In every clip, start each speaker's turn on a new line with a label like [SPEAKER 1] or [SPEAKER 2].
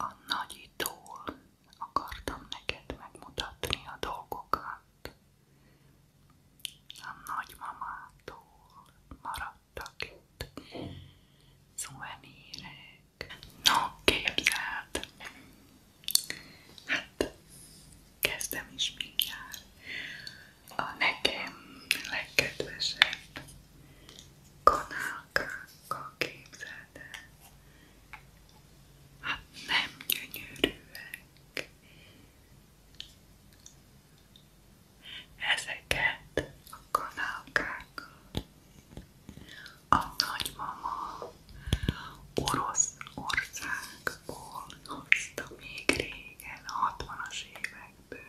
[SPEAKER 1] A nagyitól akartam neked megmutatni a dolgokat. A nagymamától maradtak itt szuvenírek. Na, képzeld! Hát, kezdem is mindjárt. A nekem legkedvesebb kanál szakánkkal képzeld el. Hát nem gyönyörűek. Ezeket a kanálkákat a nagymama Oroszországból hozta még régen, a 60-as évekből.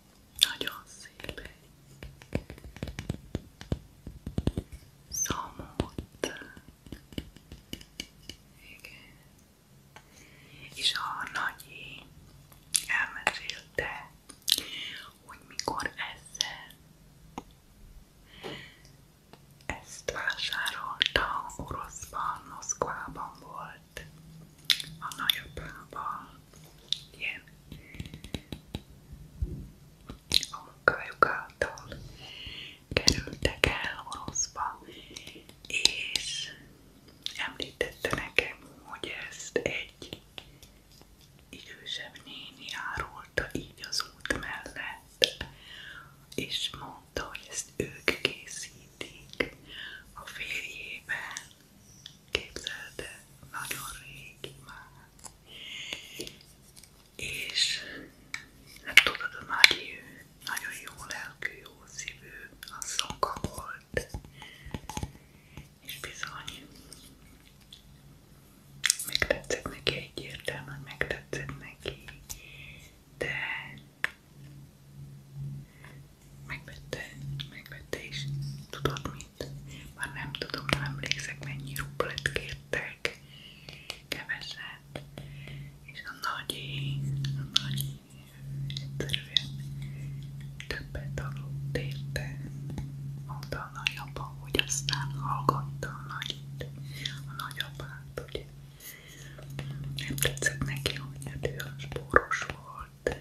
[SPEAKER 1] Nagyon szép. Szamott. Igen. És a nagyi elmesélte, hogy mikor ezzel ezt vásárolta oroszban, Moszkvában volt a nagyapával, ilyen a munkájuk által kerültek el Oroszba, és említette nekem, hogy ezt egy idősebb néni árulta így az út mellett, és mondta, hogy ezt ők készítik a férjében képzeld el, nagyon régi már. És nem tudod, a Mari, ő nagyon jó lelkű, jó szívű, asszonka volt. És bizony, megtetszett neki egyértelműen, megtetszett neki, de megvette, megvette kérte is. Tudod mit? Már nem tudom, nem emlékszek mennyi rublet kértek. Keveset. És a nagyi, a nagyi egyszerűen többet aludt érte. Mondta a nagyapa, hogy aztán hallgatta a nagyit. A nagyapát, ugye. Nem tetszett neki, hogy ő a spóros volt.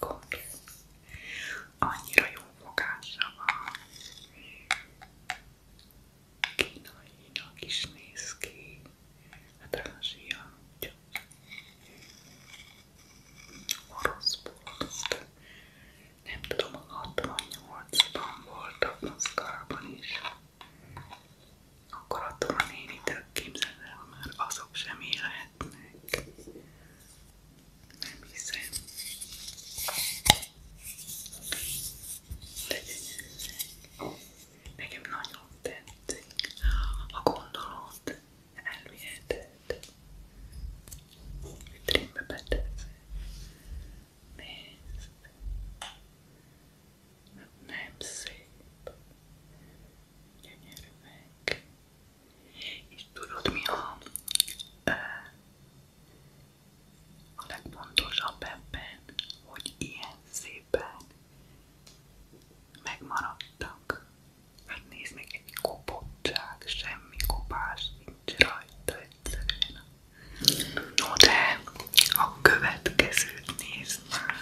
[SPEAKER 1] Gond. Annyira jó fogása van. Kínainak is néz ki. Hát Ázsia, úgyhogy orosz volt. Nem tudom, a 68-ban voltak Moszkvában is. Akkor attól a néni képzeld el, már azok sem élhetnek. Nem hiszem. De Nekem nagyon tetszik a gondolat elviheted. Vitrínbe betesz. Nézd. Nem szép gyönyörű meg. És tudod mi a, a legfontosabb ebben, hogy ilyen szépen megmaradtak. Hát nézd meg egy kopottság, semmi kopás nincs rajta egyszerűen. No de a következőt nézd már.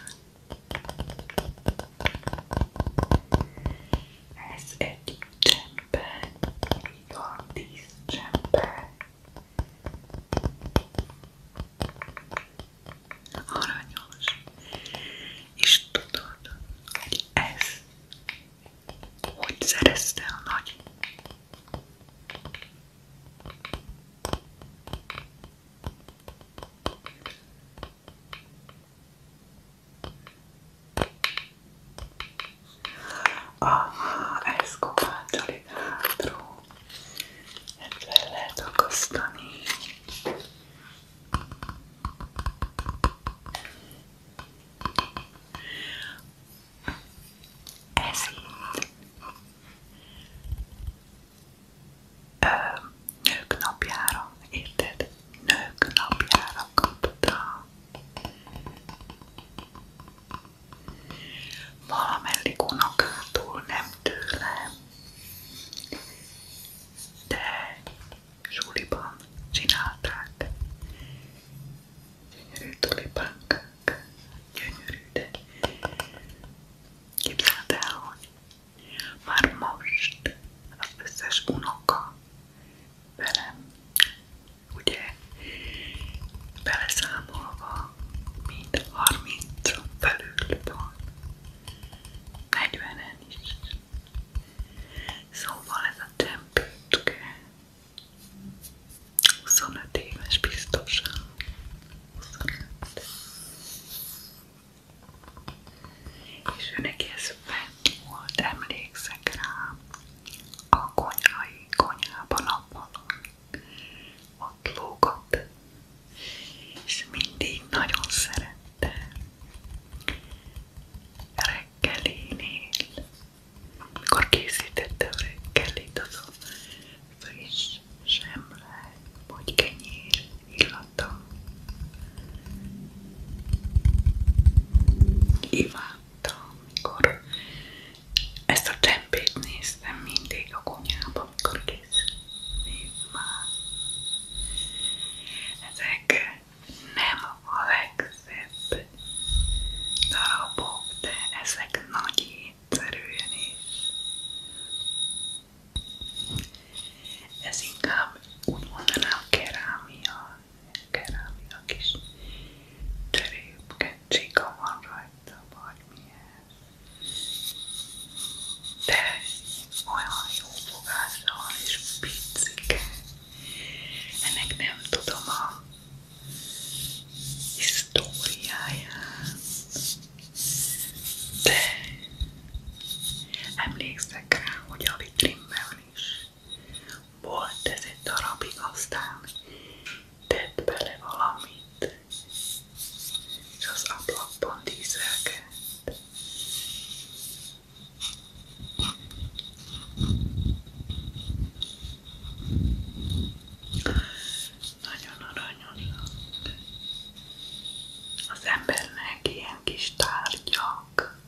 [SPEAKER 1] Ez egy csempe, a tíz csempe. Aranyos. És tudod, hogy ez hogy szerezte a nagy? Aha, ez kovácsol itt hátról. Ezt le lehet akasztani. Ez itt ö, nők napjára, érted? Nők napjára kaptam. Valamelyik unokától, nem tőlem. De suliban csinálták. Gyönyörű tulipánkák. Gyönyörű, de képzeld el, hogy már most az összes unoka velem, ugye beleszámolva mind 30-on felül van, 40-en is. Szóval ez a tempőtke 25 éves biztosan. 25. És ő neki ez fent volt, emlékszek rá, a konyhai konyhában a falon, ott lógott, és mindig nagyon szerette reggelinél, amikor készítette a reggelit, az a friss semle, vagy kenyér illata. Imádtam, amikor ezt a csempét néztem mindig a konyhába, amikor készülni már. Ezek nem a legszebb darabok, de ezek nagy étszerűen is ez inkább úgy mondanám kerámia, kerámia kis cserépke, csika van rajta, vagy De olyan jó fogása van, és picike. Ennek nem tudom a de emlékszem, emlékszek rá, hogy a is volt ez egy darabig, aztán tett bele valamit, és az ablakban dízelkedett. Nagyon aranyosak. Az embernek ilyen ilyen kis tárgyak,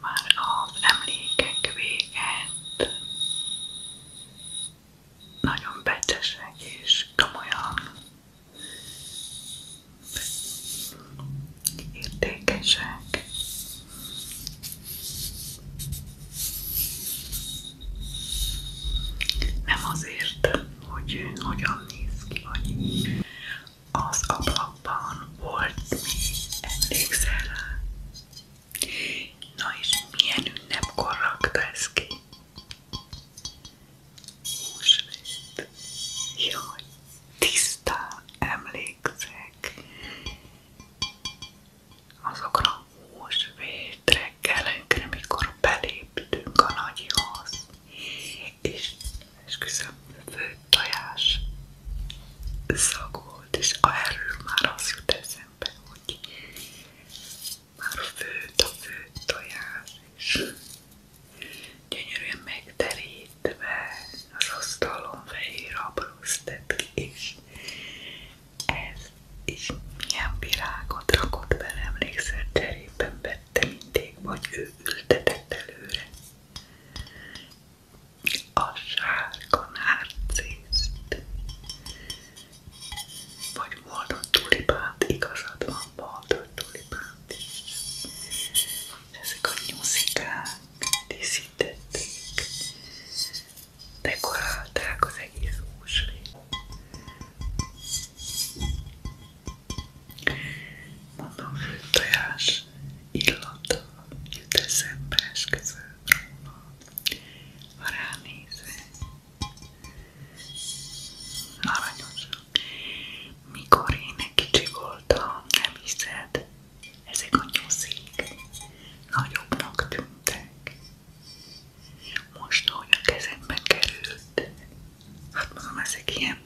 [SPEAKER 1] már az emlékek nagyon becsesek és komolyan értékesek. Nem azért hogy hogyan néz ki, vagy az ablakban volt még, emlékszel rá? Na és milyen ünnepkor rakta ez ki? Húsvét. Jaj, tisztán emlékszek azokra a húsvét reggelekre, mikor beléptünk a nagyhoz, itt is, és küszöbb fő tojás szag volt, és erről már az jut eszembe, hogy már főt a fő tojás, és gyönyörűen megterítve az asztalon fehér abrosztet és ez is milyen virágot rakott bele, emlékszel cserében ültette mindig, vagy ő ültetett előre. A sárga nárciszt, vagy moldott tulipánt, igazad van, moldott tulipánt is. Ezek a nyúzikák díszítették, dekorálták az egész húsvét. Mondom, hogy tojás illata jut eszembe esküvőm róla, ha ránézek. Aranyos. Mikor én egy voltam, nem hiszed, ezek a nyuszik nagyobbnak tűntek. Most, ahogy a kezembe került, hát mondom, ezek ilyen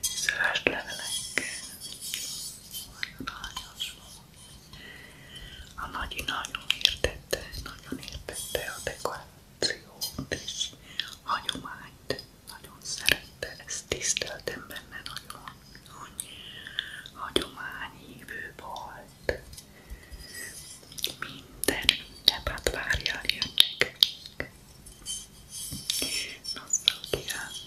[SPEAKER 1] szöves levelekkel, a nagyi nagyon értette, nagyon értette a dekorációt és hagyományt, nagyon szerette, ezt tiszteltem benne nagyon, hogy hagyományhívő volt. Minden ünnepát várjál jönnek. Nosztalgiát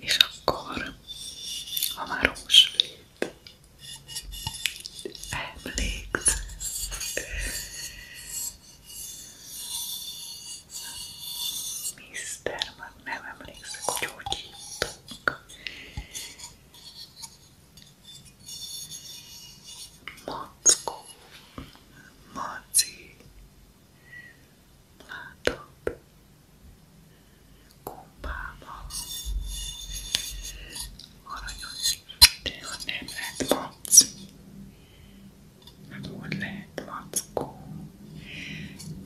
[SPEAKER 1] És akkor, ha már húsvét emléksz, Mister, már nem emlékszek, hogy hogy hívtuk. Mackó, Maci, látod, gombával, aranyos, de ha nem lett Maci, hát hogy lehet Mackó,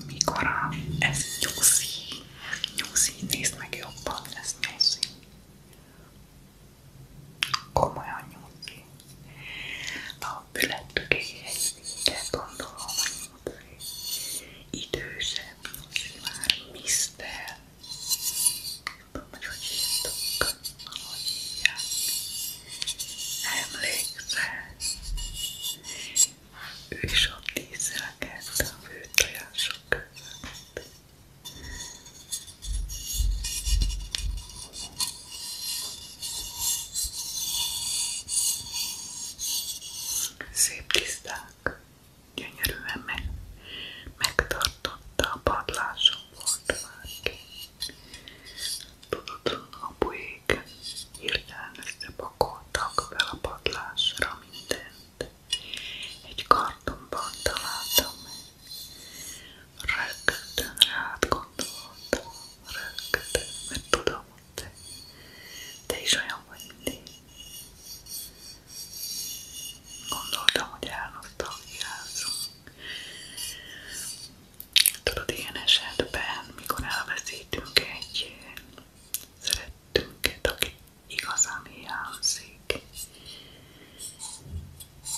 [SPEAKER 1] mikor a, ez nyuszi, nyuszi, nézd meg jobban, ez nyuszi. Komolyan nyújtni. A fülettökéhez gondolom, hogy idősebb, már misztel. Tudom, hogy hogy hívtuk, ahogy hívják. Emlékszel? Ő is ott ízelkedte a főtojások között. Szép tiszták, gyönyörűen meg, megtartotta a padláson portvárként. Tudatlan apuék hirtelen összepakoltak fel a padlásra minden egy kartonban találtam meg. Rögtön rád gondoltam, rögtön, mert tudom, hogy te, te is olyan vagy, mint én. Gondoltam, hogy elnosztalgiázunk. Tudod, ilyen esetben, mikor elveszítünk egy szerettünket, akit igazán hiányzik.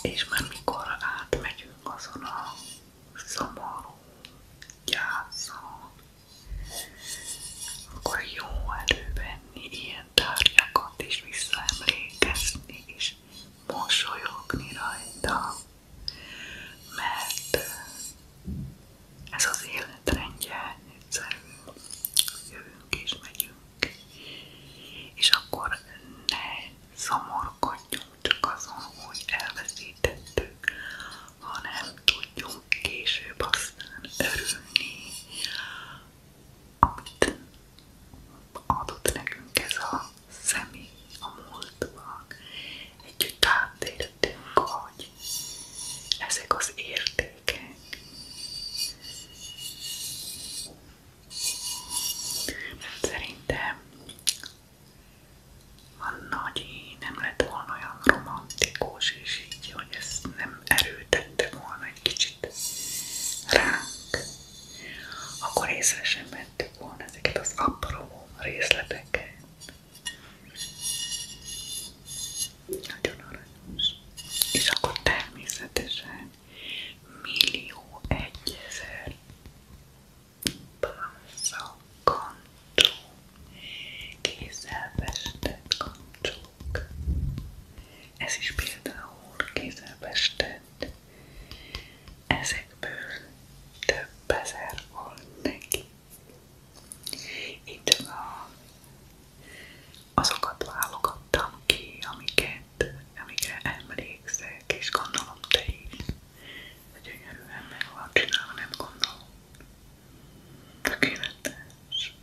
[SPEAKER 1] És már mikor átmegyünk azon a szomorú gyászon, akkor jó elővenni ilyen tárgyakat és visszaemlékezni és mosolyogni rajta, mert ez az életrendje egyszerű, jövünk és megyünk és akkor ne szomorkodjunk csak azon, hogy elveszítettük, hanem tudjunk később aztán örülni, amit adott nekünk ez a a múltban. Együtt átélettünk, hogy ezek az thinking. Szerintem Anna, hogy így nem lett volna olyan romantikus, és így, hogy ezt nem erőtette volna egy kicsit ránk, akkor észre sem vettük volna ezeket az apró részleteket. Ugyanaranyos. És akkor természetesen millió egyezer pálca kancsó, kézzel festett kancsók. Ez is például kézzel festett. Ezekből több ezer volt neki. Itt a azokat válogattam ki, amiket, amikre emlékszek, és gondolom te is. Gyönyörűen meg van csinálva, nem gondolom. Tökéletes.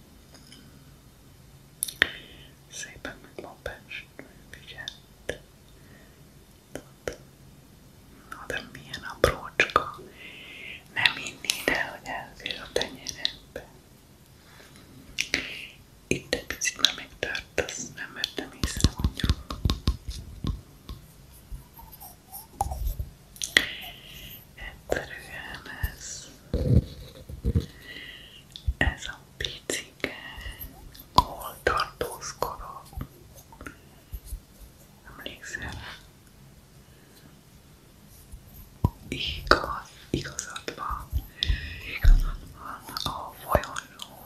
[SPEAKER 1] Szépen meg van pesgő, Na de milyen aprócska. Nem hinnéd el, hogy elfér a tenyerembe. Itt egy picit már megtartasz, nem vettem észre mondjuk. Egyszerűen ez, ez a picike, ahol tartózkodom. Emlékszel? Igaz, igazad van, igazad van, a folyosón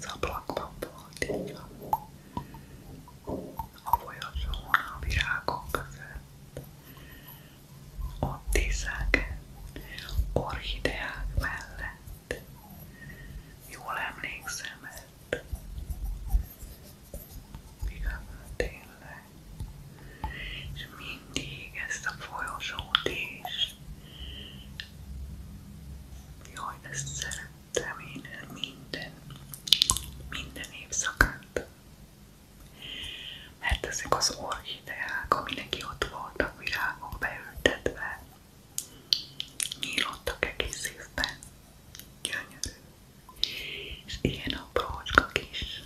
[SPEAKER 1] szablakban volt így van. A folyosón, a virágok között, ott iszek, orchideák mellett, jól emlékszem, mert igazán tényleg és mindig ezt a folyosót is. Jaj, ezt szerettem én minden, minden évszakát. Mert ezek az orchideák, aminek ott voltak virágok beültetve, nyílottak egész évben. Gyönyörű. És ilyen aprócska kis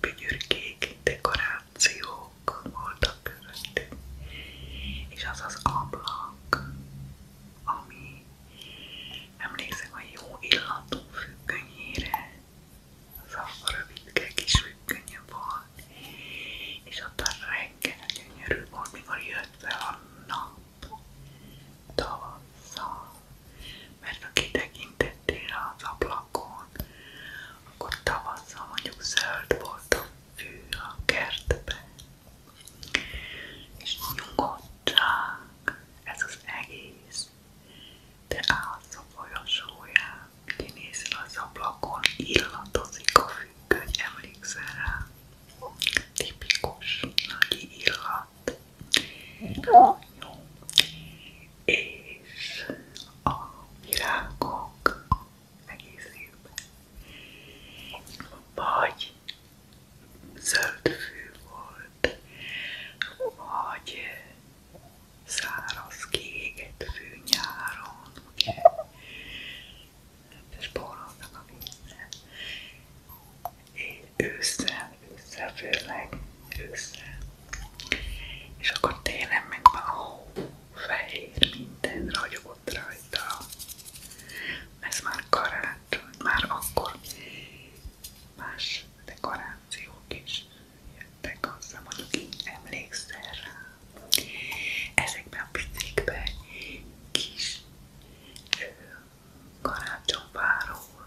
[SPEAKER 1] bügyürkék, dekorációk voltak közöttük, és az az ablak, ami emlékszem a jó illatú függönyére, az a rövidke kis függönye volt, és ott a reggel gyönyörű volt, mikor jött be a nap, tavasszal, mert ha kitekintettél az ablakon, akkor tavasszal mondjuk zöld volt a fű a kertben, és nyugodtság ez az egész. Te állsz a folyosóján, kinézel az ablakon, illatozik a függöny, emlékszel rá? Tipikus, nagy illat. Jó és a virágok egész évben. Vagy zöldfű volt, vagy száraz kiégett fű nyáron, ugye? Spórolnak a vízre. Én ősszel, főzre. És akkor télen meg már hó, fehér, minden ragyogott rajta. Ez már karácsony, már akkor más dekorációk is jöttek hozzá, mondjuk így emlékszel rá. Ezekben a picikben kis karácsonyváról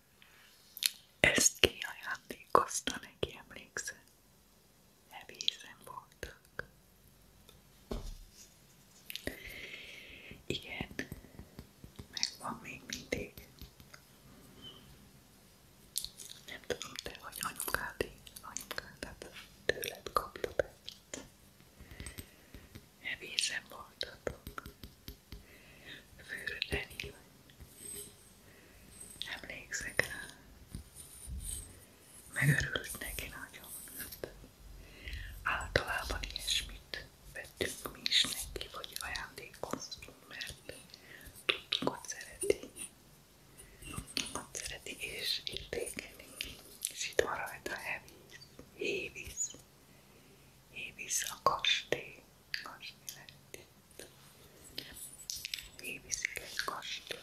[SPEAKER 1] Ezt ki ajándékozta neki, emlékszel? Evézen voltak. Igen, megvan még mindig. Nem tudom te, hogy anyukád, anyukád, hát tőled kapta be. Evészen voltatok. Fürden Emlékszek rá. Megörült neki nagyon. Általában ilyesmit vettünk mi is neki, vagy ajándékoztunk, mert tudtuk, hogy szereti. Ott szereti és értékeli. És itt van rajta Hévíz. Hévíz a kastély kastély Éviszik egy kastély,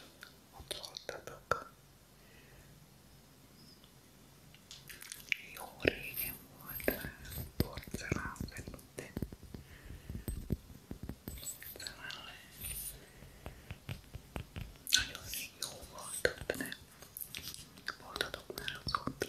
[SPEAKER 1] ott voltatok. Jó régen volt porcelán felülte. Porcelán Nagyon jó volt ott, nem? Voltatok már azóta.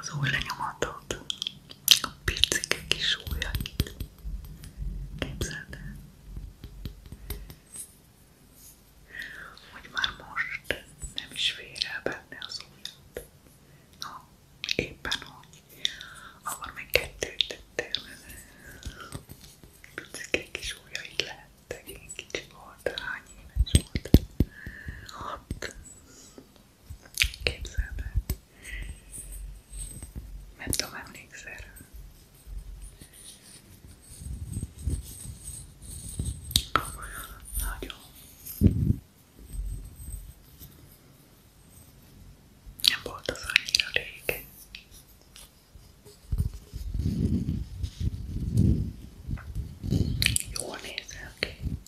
[SPEAKER 1] az új lenyomatod, a picike kis ujjait. Képzeld el, hogy már most nem is fér el benne az ujjat. No, éppen hogy. Akkor még kettőt tettél vele. Picike kis ujjait lehettek, én kicsi volt volt, hány éves volt? Hat. Képzeld el. Nem tudom, emlékszel rá. Nagyon. Nem volt az annyira régen. Jól nézel ki.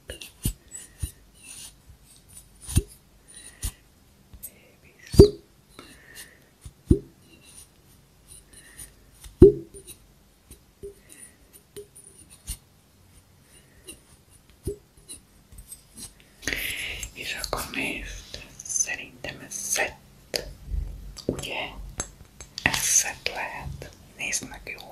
[SPEAKER 1] babies. És akkor nézd, szerintem ez szett, ugye? Ez szett lehet, nézd meg jól.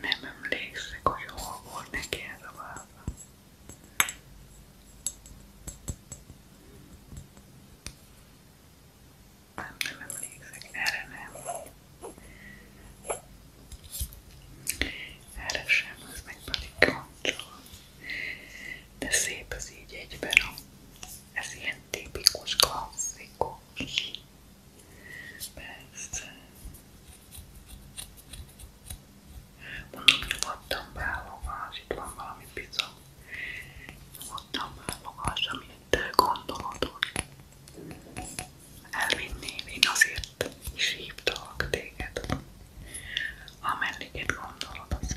[SPEAKER 1] Nem emlékszek, hogy hol volt neki ez a váza. Nem, nem emlékszek, erre nem. Erre sem, az meg pedig kancsolom. De szép az így egyben a ez ilyen tipikus, klasszikus. Persze. Mondom, nyugodtan válogass, itt van valami bizony. Nyugodtan válogass, amit te gondolod, hogy elvinném. Én azért is hívtalak téged. Amennyiket gondolod, az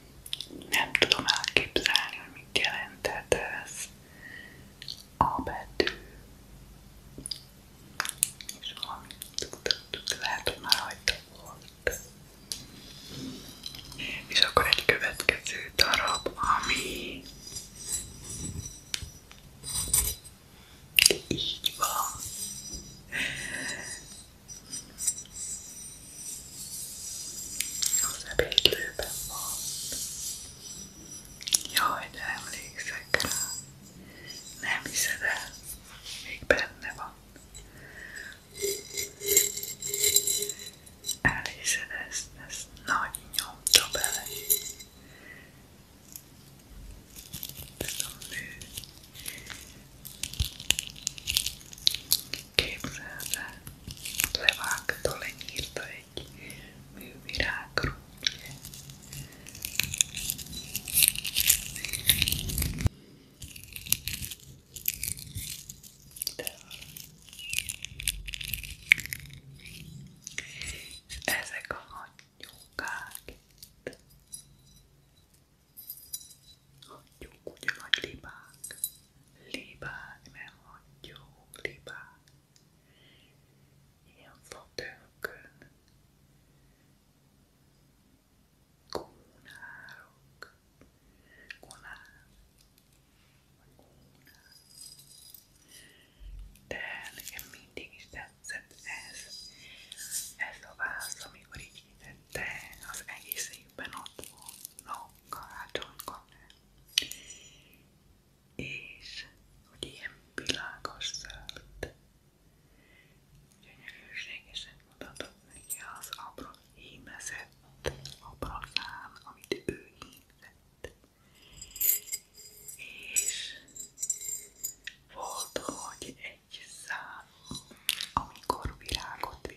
[SPEAKER 1] nem tudom elképzelni, hogy mit jelentett ez a betű. És valamit tudtuk, lehet, hogy már rajta volt. És akkor egy következő darab, ami így van. Az ebédlőben van. Jaj, de emlékszek rá. Nem hiszed el, még benne van. Elhiszed ezt, ezt nagy nyomta bele. Ez a mű. Képzelve, Levágtól lenyírta egy művirágról, ugye? De ezek a nagy nyúlkák itt Hagyjuk ugye nagy libák. Libák, nem hagyjuk libák. Ilyen fotőkön. Kónárok. Konár. Kónár. De nekem mindig is tetszett ez. Ez a válasz, amikor így hitette, az egész évben ott volt karácsony kapni. És hogy ilyen világos szert. Gyönyörűségesen mutatott neki az abra hímezett abrakán, amit ő hívett. És volt, hogy egy szám, amikor virágot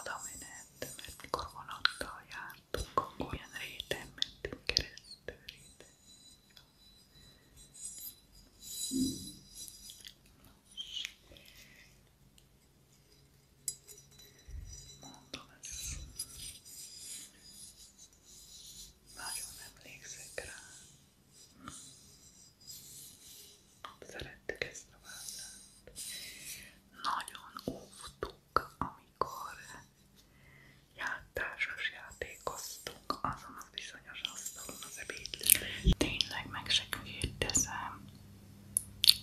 [SPEAKER 1] oda menet, mert mikor vonattal jártunk, akkor ilyen réten mentünk keresztül, réten. Mondom, ez nagyon emlékszek rá. Szerettük ezt a vázást. Nagyon óvtó voltunk, amikor játásos játékoztunk azon a bizonyos asztalon az ebédlőben. Tényleg meg se kérdezem,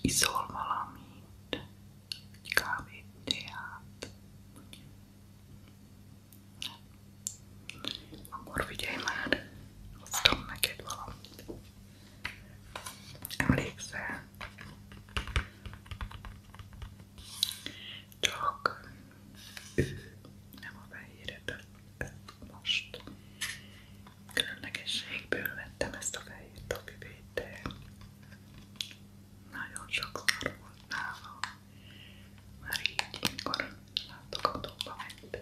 [SPEAKER 1] iszol valamit, egy kávét, teát, akkor figyelj már, hoztam neked valamit. Emlékszel? Csak ő nem a fehéret, most különlegességből vettem ezt a fehér topivét, de nagyon sok szar volt nála. Már így, mikor látogatóba mentem.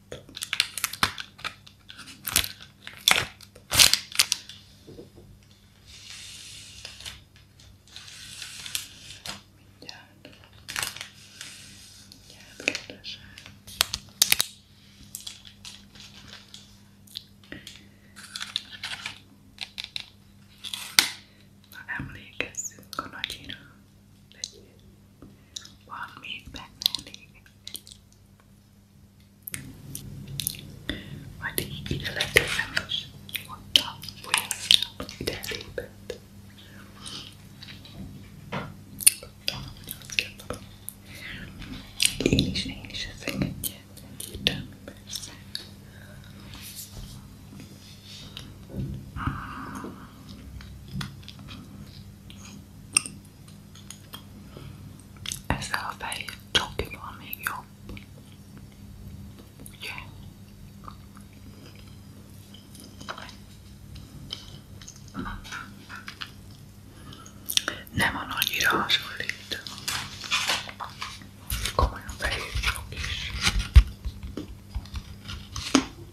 [SPEAKER 1] Mindjárt. Mindjárt keresem. Na emlékezzünk a nagyira legyél. Van még benne elég. Majd így ide letérem is. Ott a folyamra ide lépett. Én is, én is ezeket egyértelmű, persze. Ezzel a fehér csokival még jobb. Ugye? Nem a nagyira hasonlít. Komolyan fehér csok is.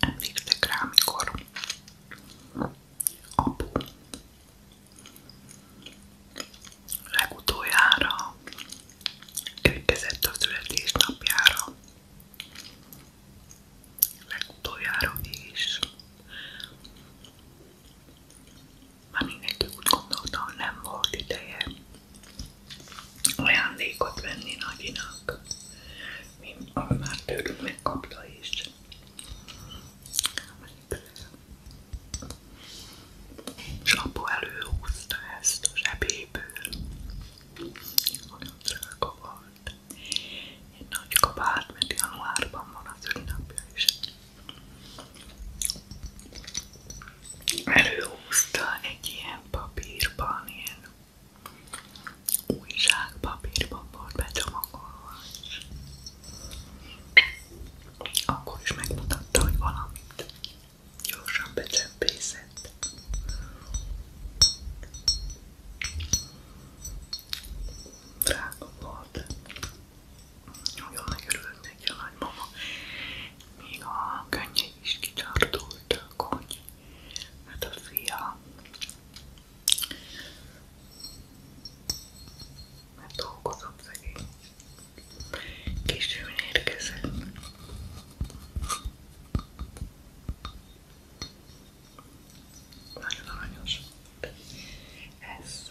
[SPEAKER 1] Emlékszek rá, amikor apu legutoljára érkezett a születésnapjára, legutoljára is már mindenki úgy gondolta, hogy nem volt ideje ajándékot venni nagyinak, mint ami már tőlünk megkapta is. És apu előhúzta ezt a zsebéből, olyan drága volt. Egy nagy kabát, mert januárban van az ünnepje is előhúzta egy ilyen papírban, ilyen újságpapírban volt becsomagolva. Akkor is megmutatta, hogy valamit gyorsan becsempészett. Drága volt. Nagyon megörült neki a nagymama még a könnyei is kicsartultak, hogy hát a fia mert dolgozott szegény. Későn érkezett. Nagyon aranyos. Ez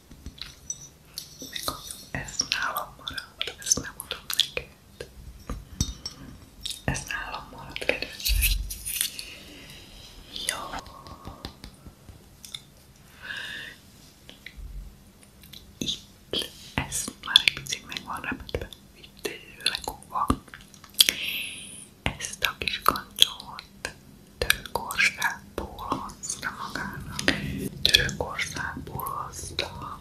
[SPEAKER 1] Megmondom, ez nálam marad, ezt nem adom neked. Ez nálam egy picit meg van repedve, itt lekúva. Ezt a kis kancsót Isztánbul hozta magának, Törökországból hozta,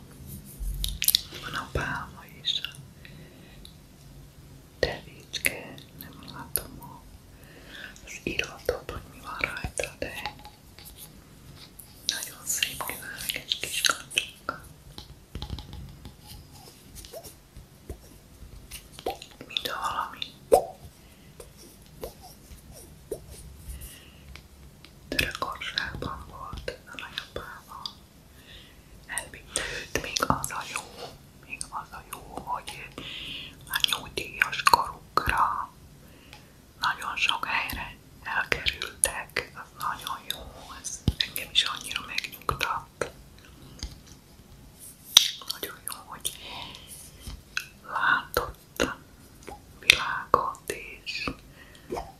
[SPEAKER 1] van a pálma is, a tevicske, nem látom a, az iratot, hogy mi van rajta, de nagyon szép kiválók kis kacsók. Mint valami Törökországban volt a nagyapával. Elvitte őt még az a jó, még az a jó, hogy a nyugdíjas korukra nagyon sok helyre elkerültek, az nagyon jó, ez engem is annyira megnyugtat. Nagyon jó, hogy látod világot, és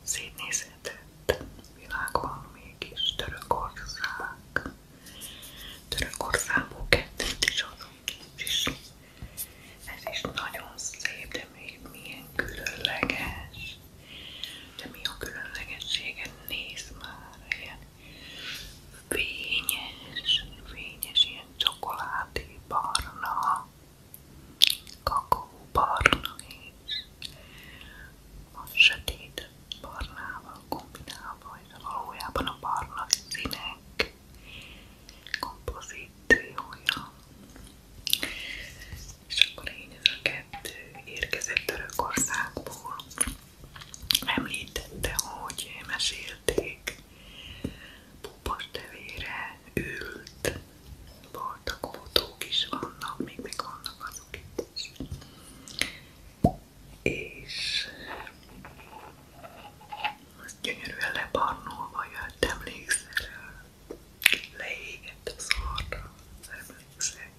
[SPEAKER 1] szétnézhetett világban mégis Törökország. Törökországból kettőt is adunk is. Ez is nagyon szép, de még milyen különleges. De mi a különlegessége? Nézd már, ilyen fényes, fényes, ilyen ilyen csokoládé barna, kakóbarna és a sötét barnával kombinálva, és valójában a barna színek kompozíciója. És akkor én ez a kettő érkezett Törökországból. Említette, hogy mesélték popas tevére ült, voltak motók is vannak, még meg vannak azok itt is. És az gyönyörűen lebarnolva jött, emlékszel rá? Leégett a szarra, emlékszel?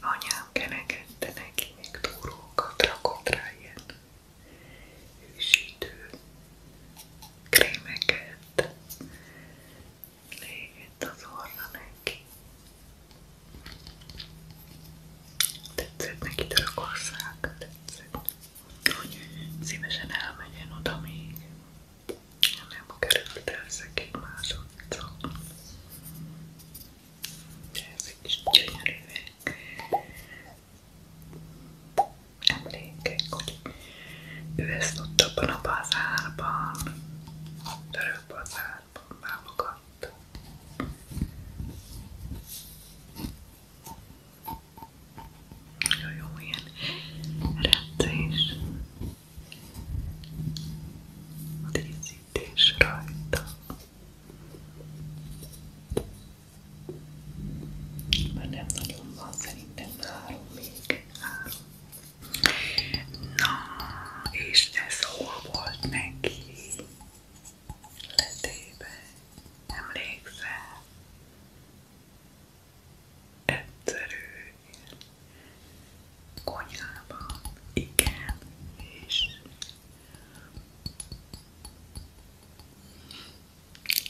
[SPEAKER 1] Anyám kenegette neki még túrókat, rakott rá ilyen hűsítő krémeket légett az orra neki. Tetszett neki Törökország, tetszett, hogy szívesen elmegyen oda még. Nem került ezek egy másodszor. De ezek is gyönyörűek emlékek, hogy ő ezt ott abban a bazárban, török bazárban válogatta. Nagyon jó ilyen rendszés. A díszítés rajta. Már nem nagyon van, szerintem három még. Három. Na, és ez hol volt neki? Letébe. Emlékszel? Egyszerű. Konyhában. Igen. És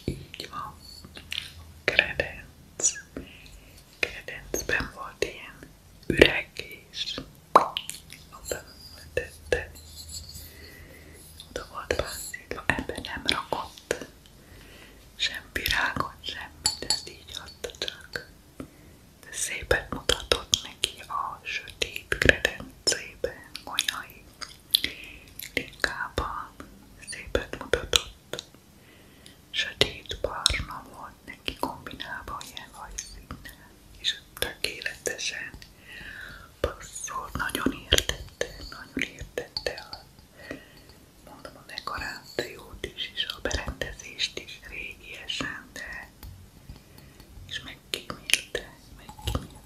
[SPEAKER 1] így van. Credence. Credence-ben volt ilyen üreg és oda vetette. Oda volt bászítva, ebben nem rakott sem virágot, semmit, ezt így adta csak. De szépet mutatott neki a sötét kredencében, golyai Linkában szépet mutatott, sötét barna volt neki kombinálva ilyen hajszínnel, és tökéletesen passzolt, nagyon értette, nagyon értette a mondom a dekorációt is, és a berendezést is régiesen, de és megkímélte, megkímélte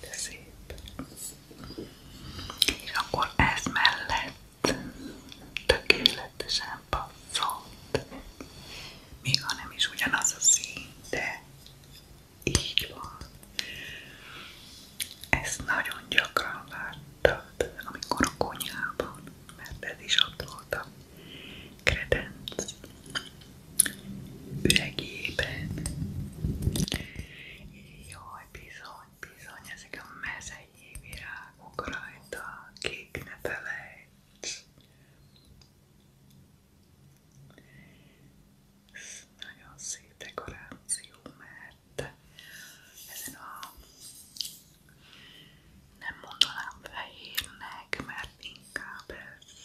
[SPEAKER 1] De szép. És akkor ez mellett tökéletesen passzolt. Még ha nem is ugyanaz a szín, de így van. Ezt nagyon gyakran láttad, amikor a konyhában, mert ez is ott voltam, kredenc üregében. Jaj, bizony, bizony, ezek a mezei virágok rajta, kék ne felejts. Ez nagyon szép dekoráció, mert ezen a nem mondanám fehérnek, mert inkább ez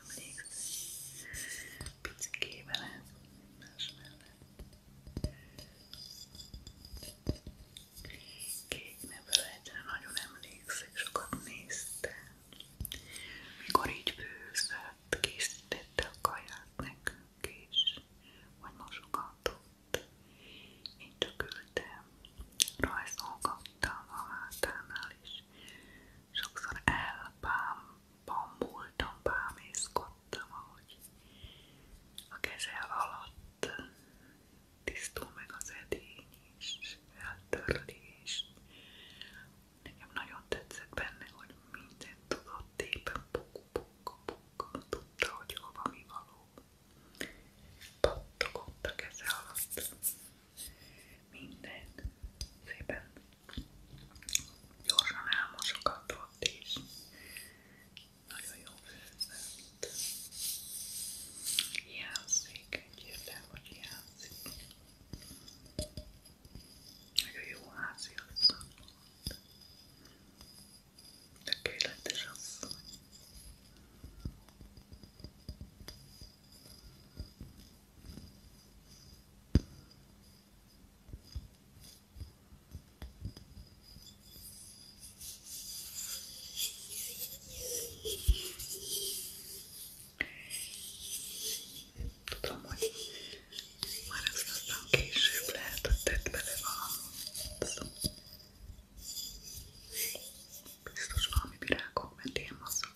[SPEAKER 1] emlékszel? Picikével ez, más mellett. Kék nevől egyre nagyon emlékszik, sokat néztem. Mikor így bőzött, készítette a kaját nekünk is, vagy mosogatott. Én csak ültem, rajzolgattam a hátánál is sokszor elbámultam, bámészkodtam, ahogy a keze alatt tisztul meg az edény is, eltörli is. Nekem nagyon tetszett benne, hogy mindent tudott éppen puk-puk-puk, tudta, hogy hova mi való. Pattogott a keze alatt. Mindegy. Szépen gyorsan elmosogatott ott is. Nagyon jó főzött. Hiányzik, egyértelmű, hogy hiányzik. Nagyon jó házi asszony volt. Tökéletes asszony. Tudom, hogy már ezt aztán később lehet, hogy tett bele valamit. Biztos valami virágok, mert ilyen masszú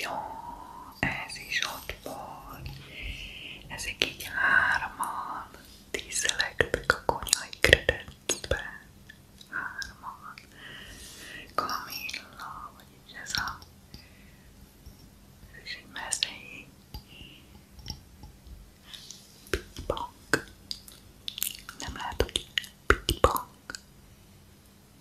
[SPEAKER 1] Jó, ez is ott van. Ezek így hárman tízelektek a konyhai kredencben. Hárman. Kamilla, vagyis ez a... Ez is egy mezei. Pitbank. Nem lehet, hogy pitbank.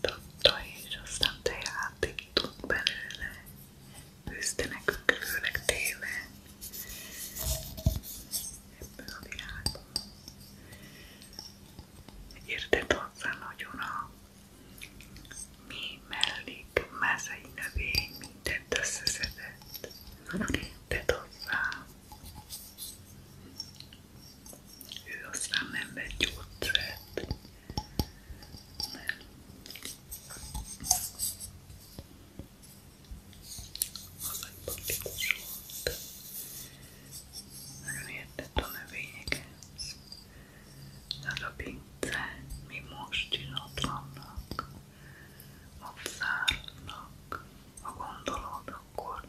[SPEAKER 1] tanította, és aztán teát ittunk belőle, főzte nekünk főleg télen ebből a világból. Értett hozzá nagyon a mi mellék mázai növény mindent összeszedett. Értett hozzá. Ő aztán nem vett gyógyszert. Nem. Az egy politikus volt. Nagyon értett a növényekhez. Tehát a pincát még most csinatlannak, a szárnak, ha gondolod, akkor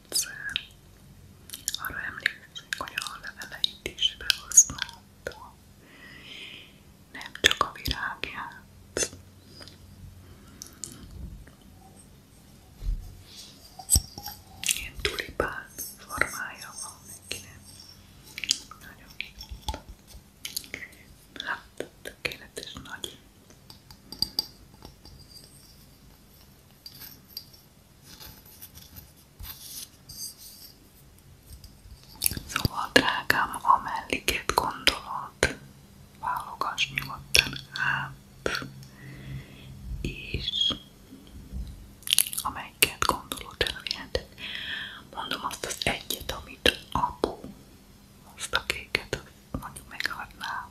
[SPEAKER 1] rendszer. Arra emlékszek, hogy a leveleit is behasználta. Nem csak a virágját. Ilyen tulipán formája van nekinek. Nagyon Hát, tökéletes nagy. Szóval drágám, amelyiket gondolod, válogass nyugodtan át, és amelyiket gondolod elviheted. Mondom azt az egyet, amit apu, azt a kéket, mondjuk meghagyná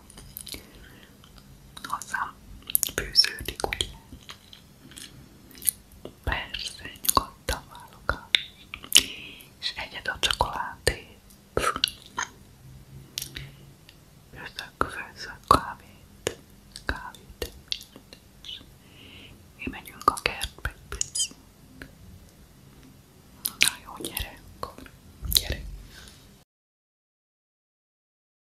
[SPEAKER 1] hozzám főződik, ugye? Persze, nyugodtan válogat. És egyed a csokoládét. Főzök, főzök kávét. Kávét. Mi megyünk a kertbe picit. Na jó, gyere akkor. Gyere.